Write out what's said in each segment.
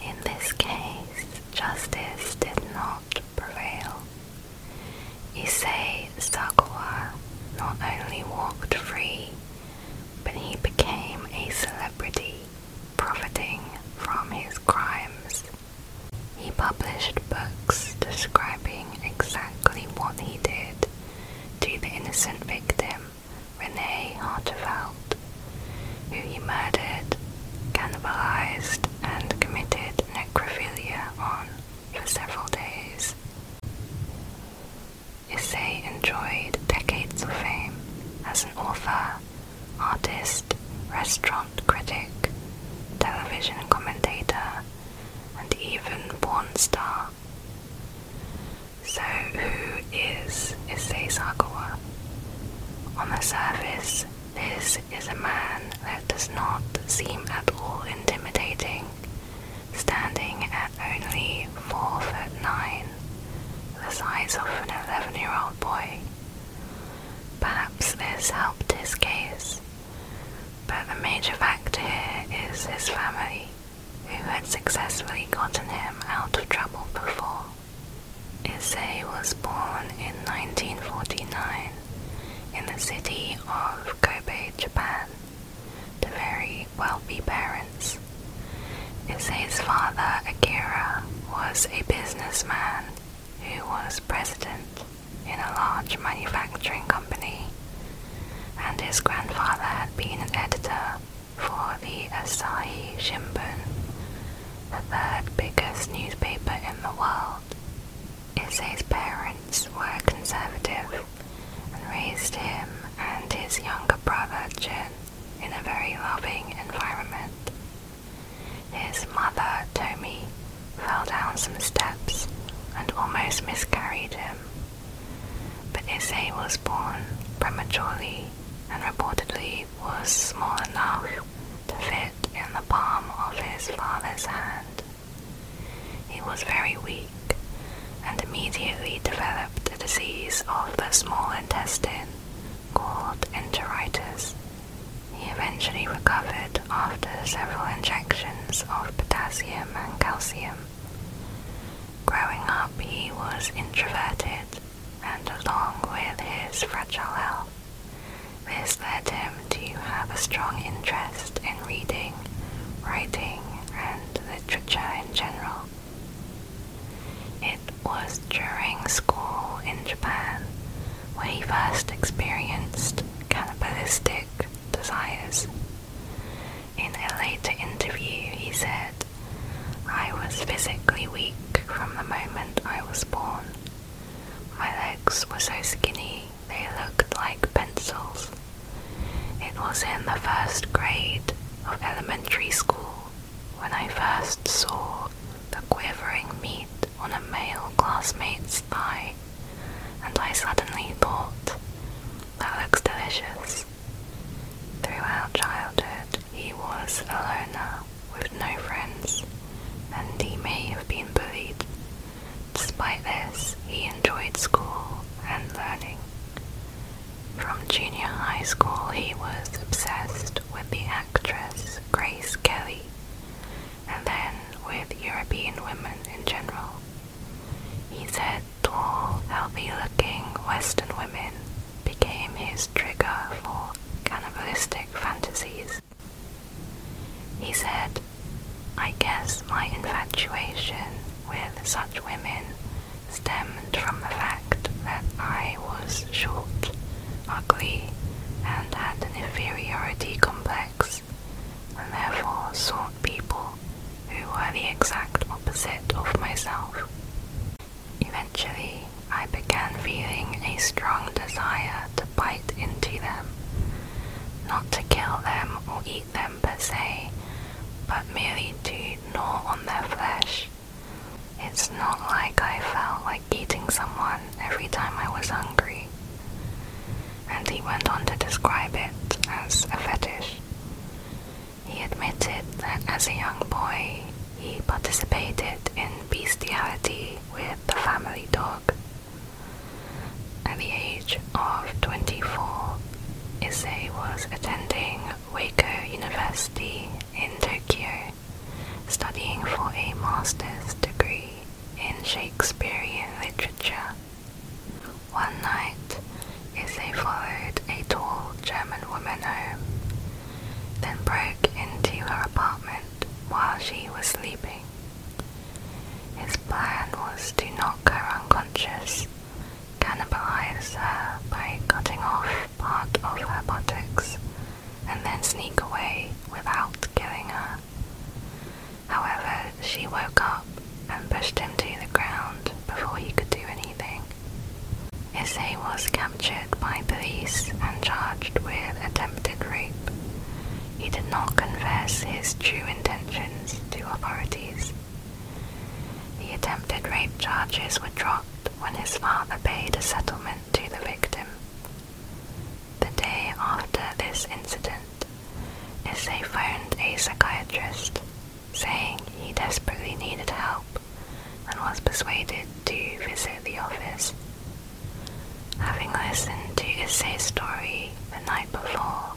In this case, justice did not prevail. Issei Sakawa not only walked free, but he became a celebrity, profiting from his crimes. He published books describing exactly what he did to the innocent victim, Renee Harteveld, who he murdered, cannibalized, and committed necrophilia on for several days. Issei enjoyed decades of fame as an author, artist, restaurant critic, television commentator, and even porn star. So, who fruit is Issei Sakawa. On the surface, this is a man that does not seem at all intimidating, standing at only 4 foot 9, the size of an 11 year old boy. Perhaps this helped his case, but the major factor is his family, who had successfully gotten him out of trouble before. Issei was born in 1949 in the city of Kobe, Japan, to very wealthy parents. Issei's father, Akira, was a businessman who was president in a large manufacturing company, and his grandfather had been an editor for the Asahi Shimbun, the third biggest newspaper in the world. Issei's parents were conservative and raised him and his younger brother Jin in a very loving environment. His mother, Tomi, fell down some steps and almost miscarried him. But Issei was born prematurely and reportedly was small enough to fit in the palm of his father's hand. He was very weak and immediately developed a disease of the small intestine called enteritis. He eventually recovered after several injections of potassium and calcium. Growing up, he was introverted and along with his fragile health, this led him to have a strong interest in reading, writing, and literature in general. It was during school in Japan where he first experienced cannibalistic desires. In a later interview, he said I was physically weak from the moment I was born. My legs were so skinny they looked like pencils. It was in the first grade of elementary school when I first saw the quivering meat on a male classmate's thigh, and I suddenly thought, that looks delicious. Throughout childhood, he was a loner with no friends, and he may have been bullied. Despite this, he enjoyed school and learning. From junior high school, he was obsessed with the actress Grace Kelly, and then with European women in general. He said tall, healthy looking Western women became his trigger for cannibalistic fantasies. He said, I guess my infatuation with such women stemmed from the fact that I was short, ugly, and had an inferiority complex, and therefore sought people who were the exact opposite of myself. Eventually, I began feeling a strong desire to bite into them. Not to kill them or eat them per se, but merely to gnaw on their flesh. It's not like I felt like eating someone every time I was hungry. And he went on to describe it as a fetish. He admitted that as a young boy, he participated in bestiality with the family dog. At the age of 24, Issei was attending Wako University in Tokyo, studying for a master's degree in Shakespearean literature. One night, Issei followed a tall German woman home then broke into her apartment while she was sleeping. His plan was to knock her unconscious, cannibalize her by cutting off part of her buttocks, and then sneak away without killing her. However, she woke up and pushed him to the ground before he could do anything. Issei was captured by police and charged with attempted rape. He did not confess his true intentions to authorities. The attempted rape charges were dropped when his father paid a settlement to the victim. The day after this incident, Issei phoned a psychiatrist, saying he desperately needed help and was persuaded to visit the office. Having listened to his story the night before,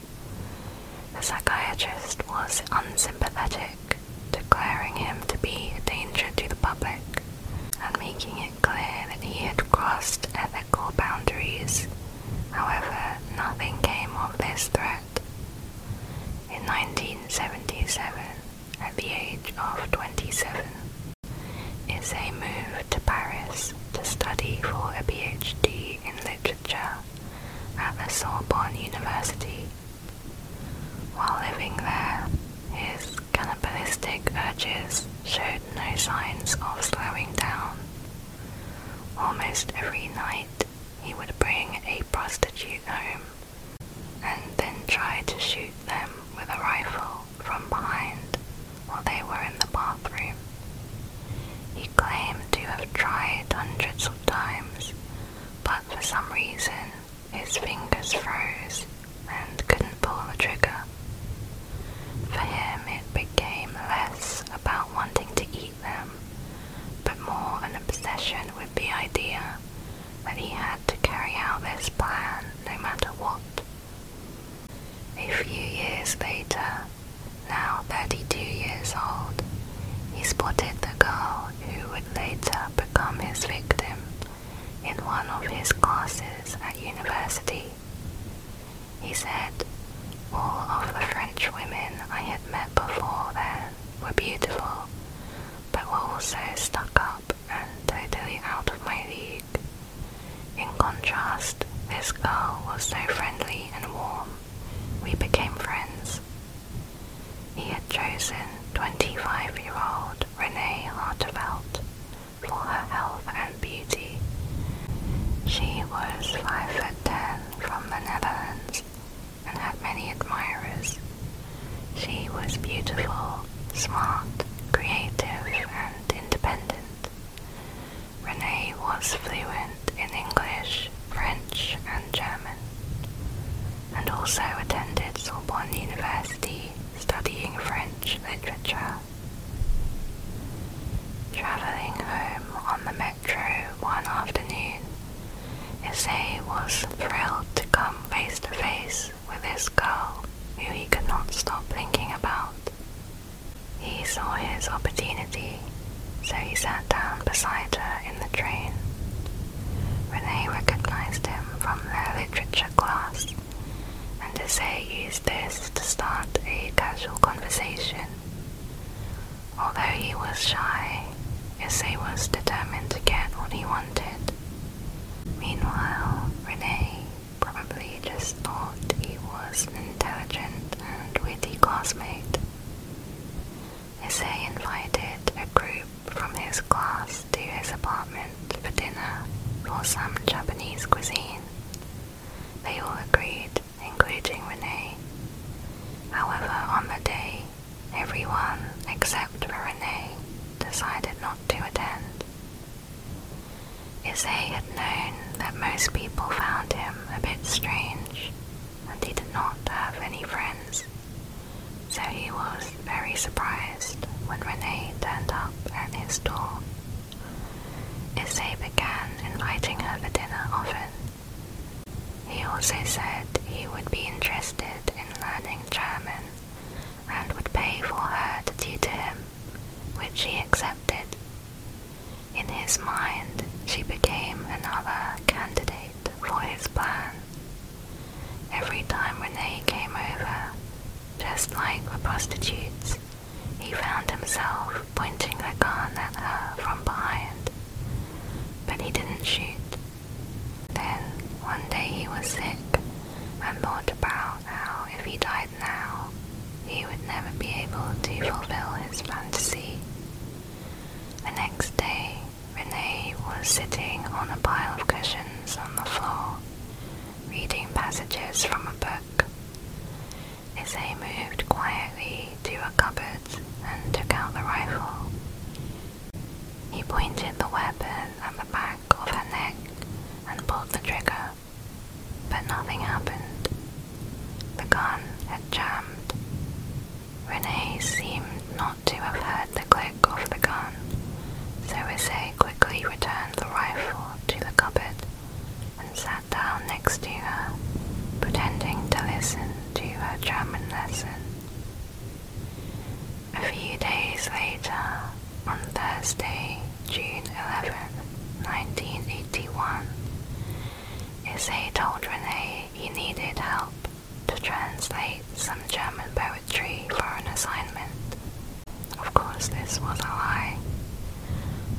the psychiatrist was unsympathetic, declaring him to be a danger to the public and making it clear that he had crossed ethical boundaries. However, nothing came of this threat. In 1977, at the age of 27 is a move to Paris to study for a PhD in literature at the Sorbonne University. While living there, his cannibalistic urges showed no signs of slowing down. Almost every night, he would bring a prostitute home and then tried to shoot them with a rifle from behind while they were in the bathroom. He claimed to have tried hundreds of times, but for some reason his fingers froze and couldn't pull the trigger. For him, it became less about wanting to eat them, but more an obsession with the idea but he had to carry out his plan no matter what. A few years later, now 32 years old, he spotted the girl who would later become his victim in one of his classes at university. He said, All of the French women I had met before then were beautiful, but were also stuck up and totally out of my league. In contrast, this girl was so friendly and warm. We became friends. He had chosen 25 year old Renee Hartevelt for her health and beauty. She was 5 foot 10 from the Netherlands and had many admirers. She was beautiful, smart, creative, and independent. Renee was fluent in English, French, and German, and also attended Sorbonne University studying French literature. Travelling home on the metro one afternoon, Issei was thrilled to come face to face with this girl who he could not stop thinking about. He saw his opportunity, so he sat down beside her in the train. Renee recognized him from their literature class, and Issei used this to start a casual conversation. Although he was shy, Issei was determined to get what he wanted, Meanwhile, Rene probably just thought he was an intelligent and witty classmate. he invited a group from his class to his apartment for dinner for some Japanese cuisine. They all agreed, including Rene. However, on the day, everyone except for Renee decided not to attend. Issei had known that most people found him a bit strange, and he did not have any friends, so he was very surprised when Renee turned up at his door. Issei began inviting her to dinner often. He also said he would be interested in learning German and would pay for her to do to him, which she accepted. In his mind, she became another candidate for his plan. Every time Renee came over, just like the prostitutes, he found himself pointing a gun at her from behind. But he didn't shoot. Then, one day he was sick, and thought about how if he died now, he would never be able to fulfill his fantasy. The next day, Renee was sitting on a pile of cushions on the floor, reading passages from a book. Issei moved quietly to a cupboard and took out the rifle. He pointed the weapon at the back of her neck and pulled the trigger, but nothing happened. The gun had jammed. Renee seemed not to have heard the click of the gun, so Issei quickly returned the rifle to the cupboard and sat down next to her, pretending to listen to her German lesson. A few days later, on Thursday, June eleventh, 1981, Issei told Renee he needed help to translate some German poetry for an assignment. Of course, this was a lie.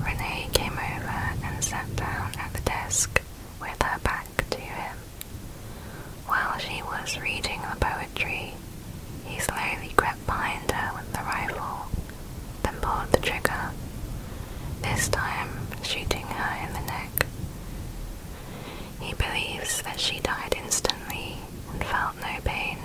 Renee came over and sat down at the desk with her back to him. While she was reading the poetry, he slowly crept behind her with the rifle, then pulled the trigger, this time shooting her in the neck. He believes that she died instantly and felt no pain.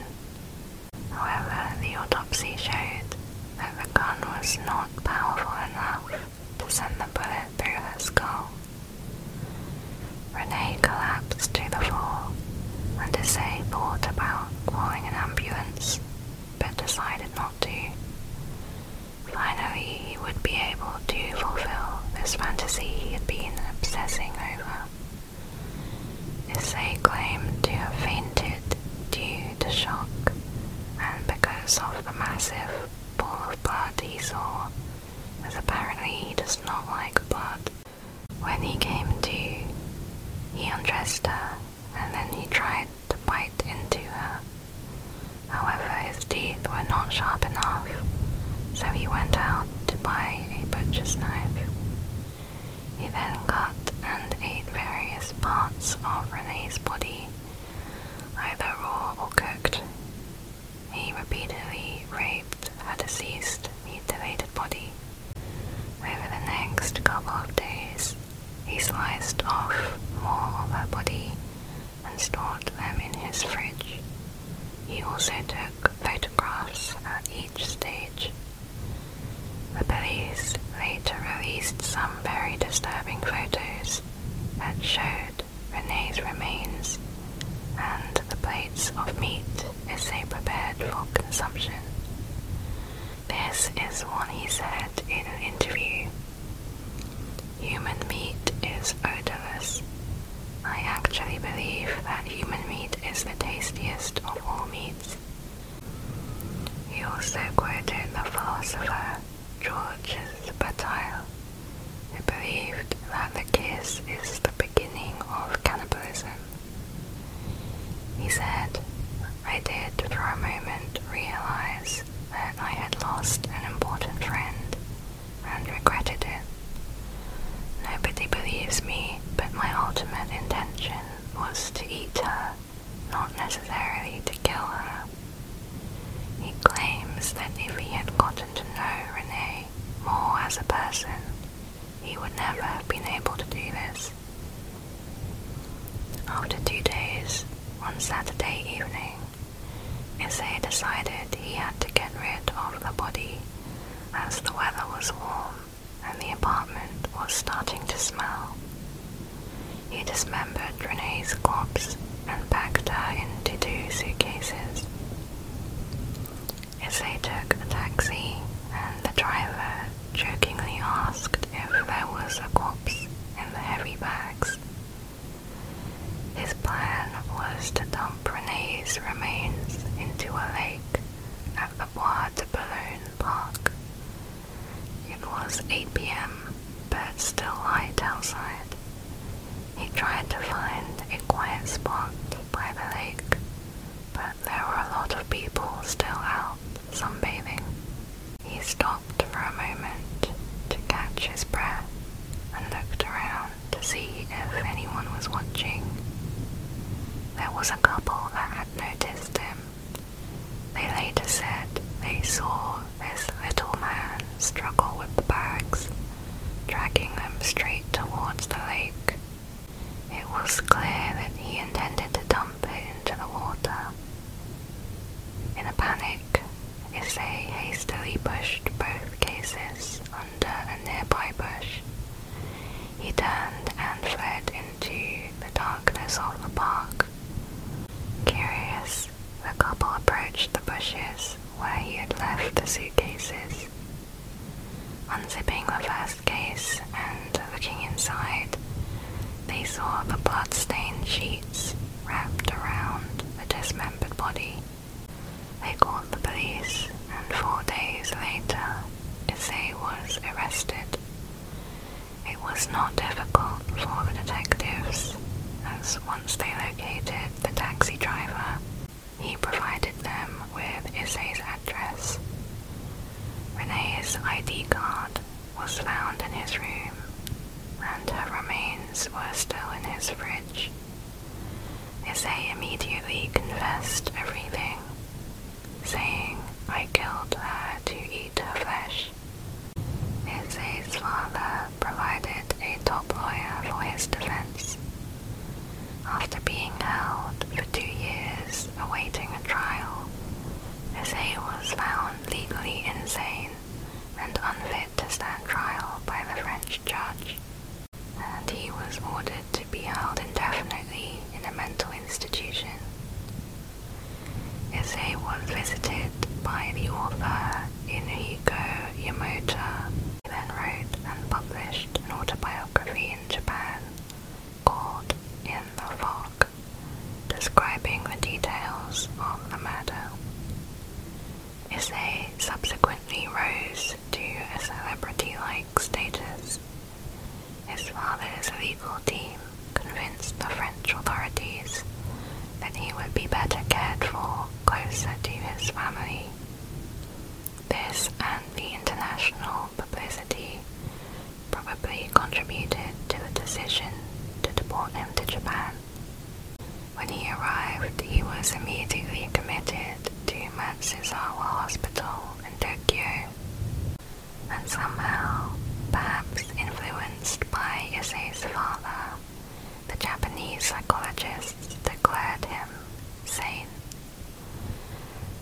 However, the autopsy showed that the gun was not powerful enough to send the bullet through her skull. Renee collapsed to the floor, and Issei thought about calling an ambulance, but decided not to. Finally, he would be able to fulfill this fantasy he had been obsessing over. Issei claimed to have fainted due to shock and because of the massive ball of blood he saw as apparently he does not like blood. When he came to, he undressed her and then he tried to bite into her. However, his teeth were not sharp enough, so he went out to buy a butcher's knife. He then cut and ate various parts of Renee's body, either raw or cooked. He repeatedly raped her deceased, mutilated body. Over the next couple of days, he sliced off more of her body and stored them in his fridge. He also took photographs at each stage. The police later released some very disturbing photos that showed Rene's remains, and the plates of meat is they prepared for consumption. This is what he said in an interview. Human meat is odorless. I actually believe that human meat is the tastiest of all meats. He also quoted the philosopher Georges Bataille he believed that the kiss is the beginning of cannibalism. He said, I did for a moment realize that I had lost an important friend and regretted it. Nobody believes me, but my ultimate intention was to eat her, not necessarily to kill her. He claims that if he had gotten to know Renee more as a person, he would never have been able to do this. After two days, on Saturday evening, Issei decided he had to get rid of the body as the weather was warm and the apartment was starting to smell. He dismembered Renee's corpse and packed her into two suitcases. As they took a taxi and the driver jokingly asked if there was a corpse in the heavy bags. His plan was to dump Renee's remains into a lake at the Bois de Boulogne Park. It was 8 pm, but still light outside, he tried to find a quiet spot by the lake, but there were a lot of people still out sunbathing. He stopped for a moment to catch his breath and looked around to see if anyone was watching. There was a couple that had noticed him. They later said they saw this little man struggle with the bags dragging them straight towards the lake. It was clear that he intended to dump it into the water. In a panic, Issei hastily pushed both cases under a nearby bush. He turned and fled into the darkness of the park. Curious, the couple approached the bushes where he had left the suitcases. Unzipping the first case and looking inside, they saw the blood-stained sheets wrapped around a dismembered body. They called the police, and four days later, Issei was arrested. It was not difficult for the detectives, as once they located the taxi driver, he provided them with Issey's address. Renee's ID card was found in his room, and her remains were still in his fridge. Issey immediately confessed everything, saying, I killed her to eat her flesh. Issey's father provided a top lawyer for his defense. After being held for two years awaiting a trial, Isaiah was found legally insane and unfit to stand trial by the French judge, and he was ordered to be held indefinitely in a mental institution. Issei was visited by the author in Inuhiko Yamota. He then wrote and published an autobiography in Japan called In the Fog, describing the details of the murder. Issei subsequently rose to a celebrity-like status. His father's legal team convinced the French authorities that he would be better cared for closer to his family. This and the international publicity probably contributed to the decision to deport him to Japan. When he arrived, he was immediately committed to Matsuzawa Hospital in Tokyo, and somehow, perhaps influenced by Issei's father, the Japanese psychologists declared him sane.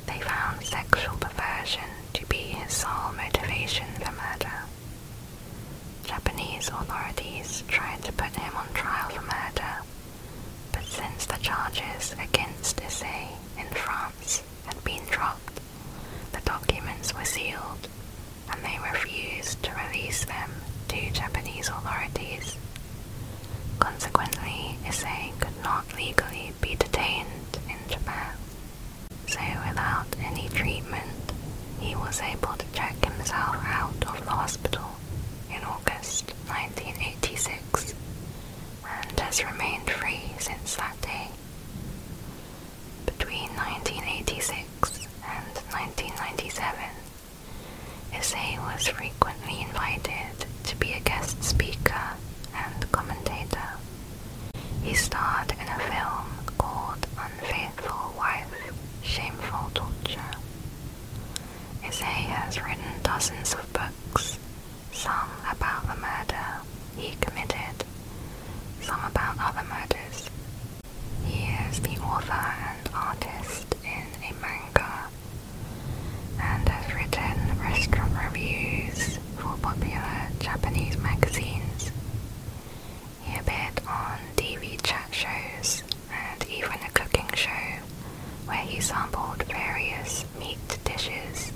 They found sexual perversion to be his sole motivation for murder. Japanese authorities tried to put him on trial for murder, but since the charges against Issei in France had been dropped, the documents were sealed and they refused to release them to Japanese authorities Consequently, Issei could not legally be detained in Japan, so without any treatment, he was able to check himself out of the hospital in August 1986 and has remained free since that day. Between 1986 and 1997, Issei was frequently invited to be a guest speaker and commentator. He starred in a film called Unfaithful Wife, Shameful Torture. Issei has written dozens of books, some about the murder he committed, some about other murders. He is the author and artist in a manga and has written restaurant reviews for popular Japanese magazines. He appeared on TV chat shows and even a cooking show where he sampled various meat dishes.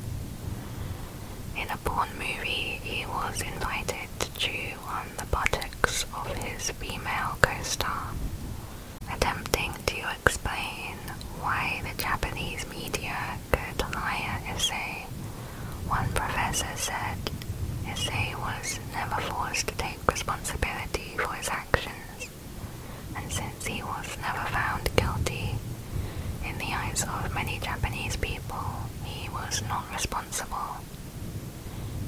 In a porn movie, he was invited to chew on the buttocks of his female co star, attempting to explain why the Japanese media could hire Issei. One professor said Issei was never forced to take responsibility for his actions, and since he was never found guilty, in the eyes of many Japanese people, he was not responsible.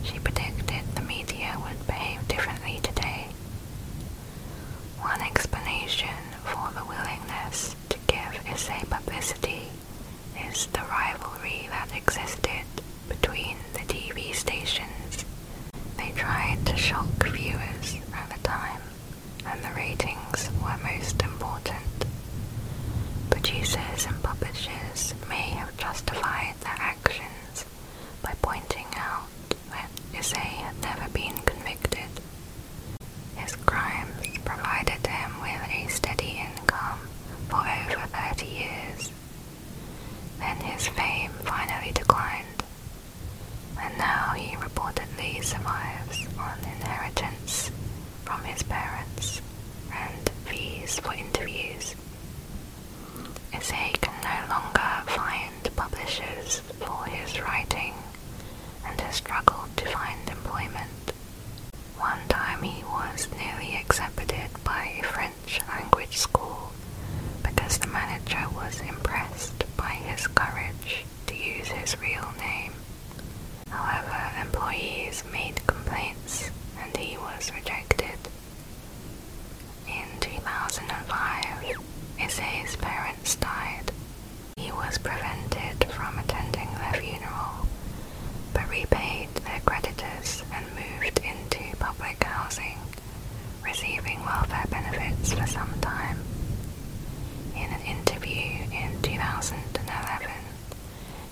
She predicted the media would behave differently today. One explanation for the willingness to give essay publicity is the rivalry that existed between the TV stations. They tried to shock viewers at the time, and the ratings were most important. Producers and publishers may have justified their actions by pointing out that Issei had never been convicted. His crimes provided him with a steady income for over 30 years. Then his fame finally declined, and now he reportedly survives on inheritance from his parents and fees for interviews. Issei can no longer find publishers for his writing and has struggled to find employment. One time he was nearly accepted by a French language school because the manager was impressed by his courage to use his real name. However, employees made complaints and he was rejected. In 2005, Issei's parents died. He was prevented from attending their funeral, but repaid their creditors and moved into public housing, receiving welfare benefits for some time. In an interview in 2011,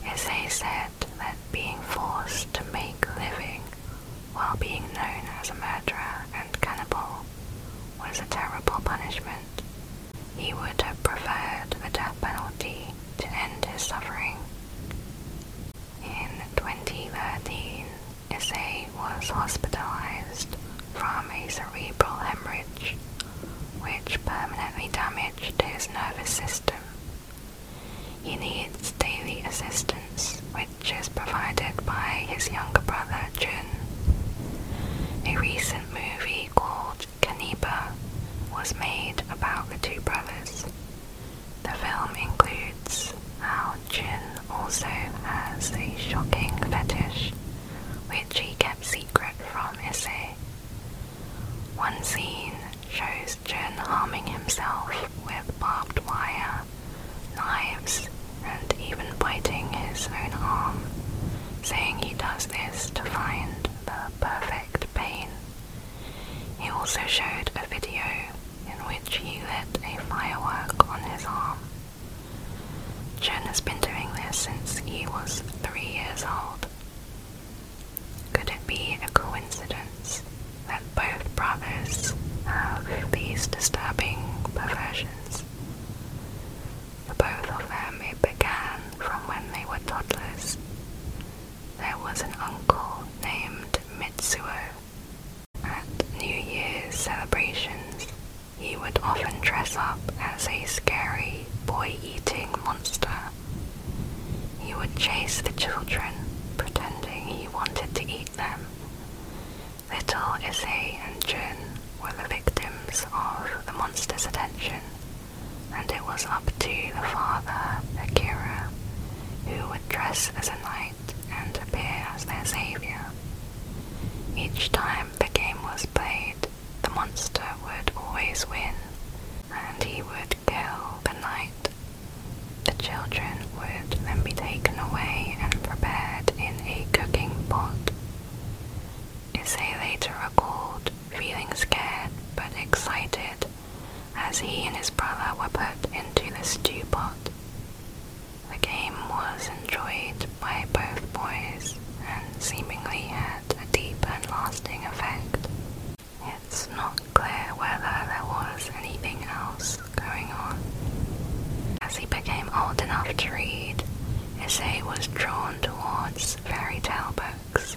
Issei said that being forced to make a living while being known as a murderer and cannibal was a terrible punishment. He would have preferred the death penalty to end his suffering. In 2013, Sa was hospitalized from a cerebral hemorrhage, which permanently damaged his nervous system he needs daily assistance, which is provided by his younger brother Jin. A recent movie called Kaniba was made about the two brothers. The film includes how Jin also has a shocking fetish, which he kept secret from Issei. One scene shows his harming himself with barbed wire, knives, and even biting his own arm, saying he does this to find the perfect pain. He also showed a video in which he lit a firework on his arm. Chen has been doing this since he was three years old. Could it be a coincidence? parents that both brothers have these disturbing perversions. For both of them, it began from when they were toddlers. There was an uncle named Mitsuo. At New Year's celebrations, he would often dress up as a scary boy eating monster. He would chase the children, pretending he wanted to eat Little Issei and Jin were the victims of the monster's attention, and it was up to the father, Akira, who would dress as a knight and appear as their savior. Each time the game was played, the monster would always win, and he would kill the knight the children would then be taken away and prepared in a cooking pot. Issei later recalled feeling scared but excited as he and his brother were put into the stew pot. The game was enjoyed by both boys and seemingly had a deep and lasting effect. It's not clear whether there was anything else going on. As he became old enough to read, Issei was drawn towards fairy tale books,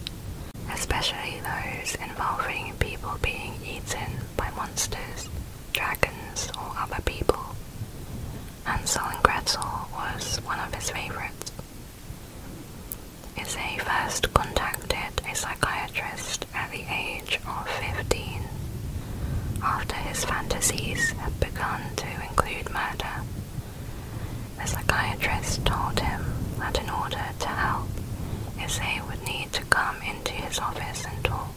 especially those involving people being eaten by monsters, dragons, or other people. Hansel and Gretel was one of his favorites. Issei first contacted a psychiatrist at the age of 15, after his fantasies had begun to include murder. The psychiatrist told him that in order to help, Issei would need to come into his office and talk.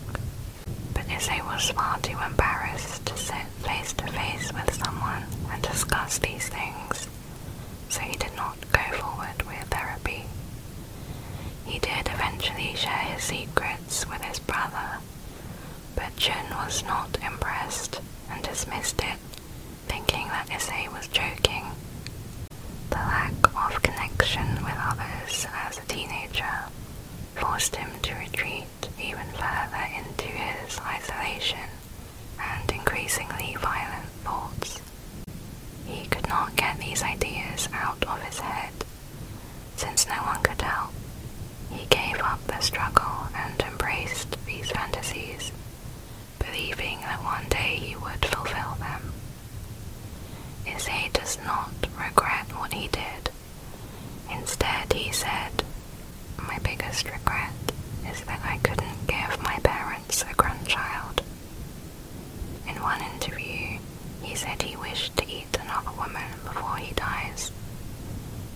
But Issei was far too embarrassed to sit face to face with someone and discuss these things, so he did not go forward with therapy. He did eventually share his secrets with his brother, but Jin was not impressed and dismissed it, thinking that Issei was joking. The lack of connection with others as a teenager forced him to retreat even further into his isolation and increasingly violent thoughts. He could not get these ideas out of his head. Since no one could help, he gave up the struggle and embraced these fantasies, believing that one day he would fulfill them. Issei does not regret what he did. Instead, he said, My biggest regret is that I couldn't give my parents a grandchild. In one interview, he said he wished to eat another woman before he dies,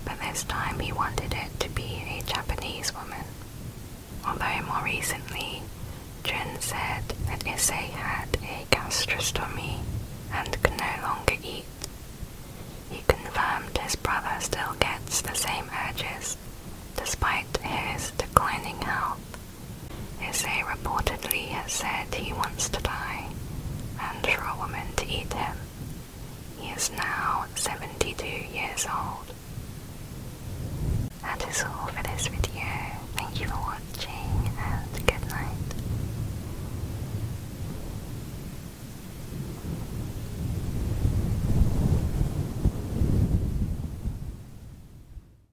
but this time he wanted it to be a Japanese woman. Although more recently, Jun said that Issei had a gastrostomy and could no longer eat. He confirmed his brother still gets the same urges, despite his declining health. Issei reportedly has said he wants to die, and for a woman to eat him. He is now 72 years old. That is all for this video. Thank you for watching and good night.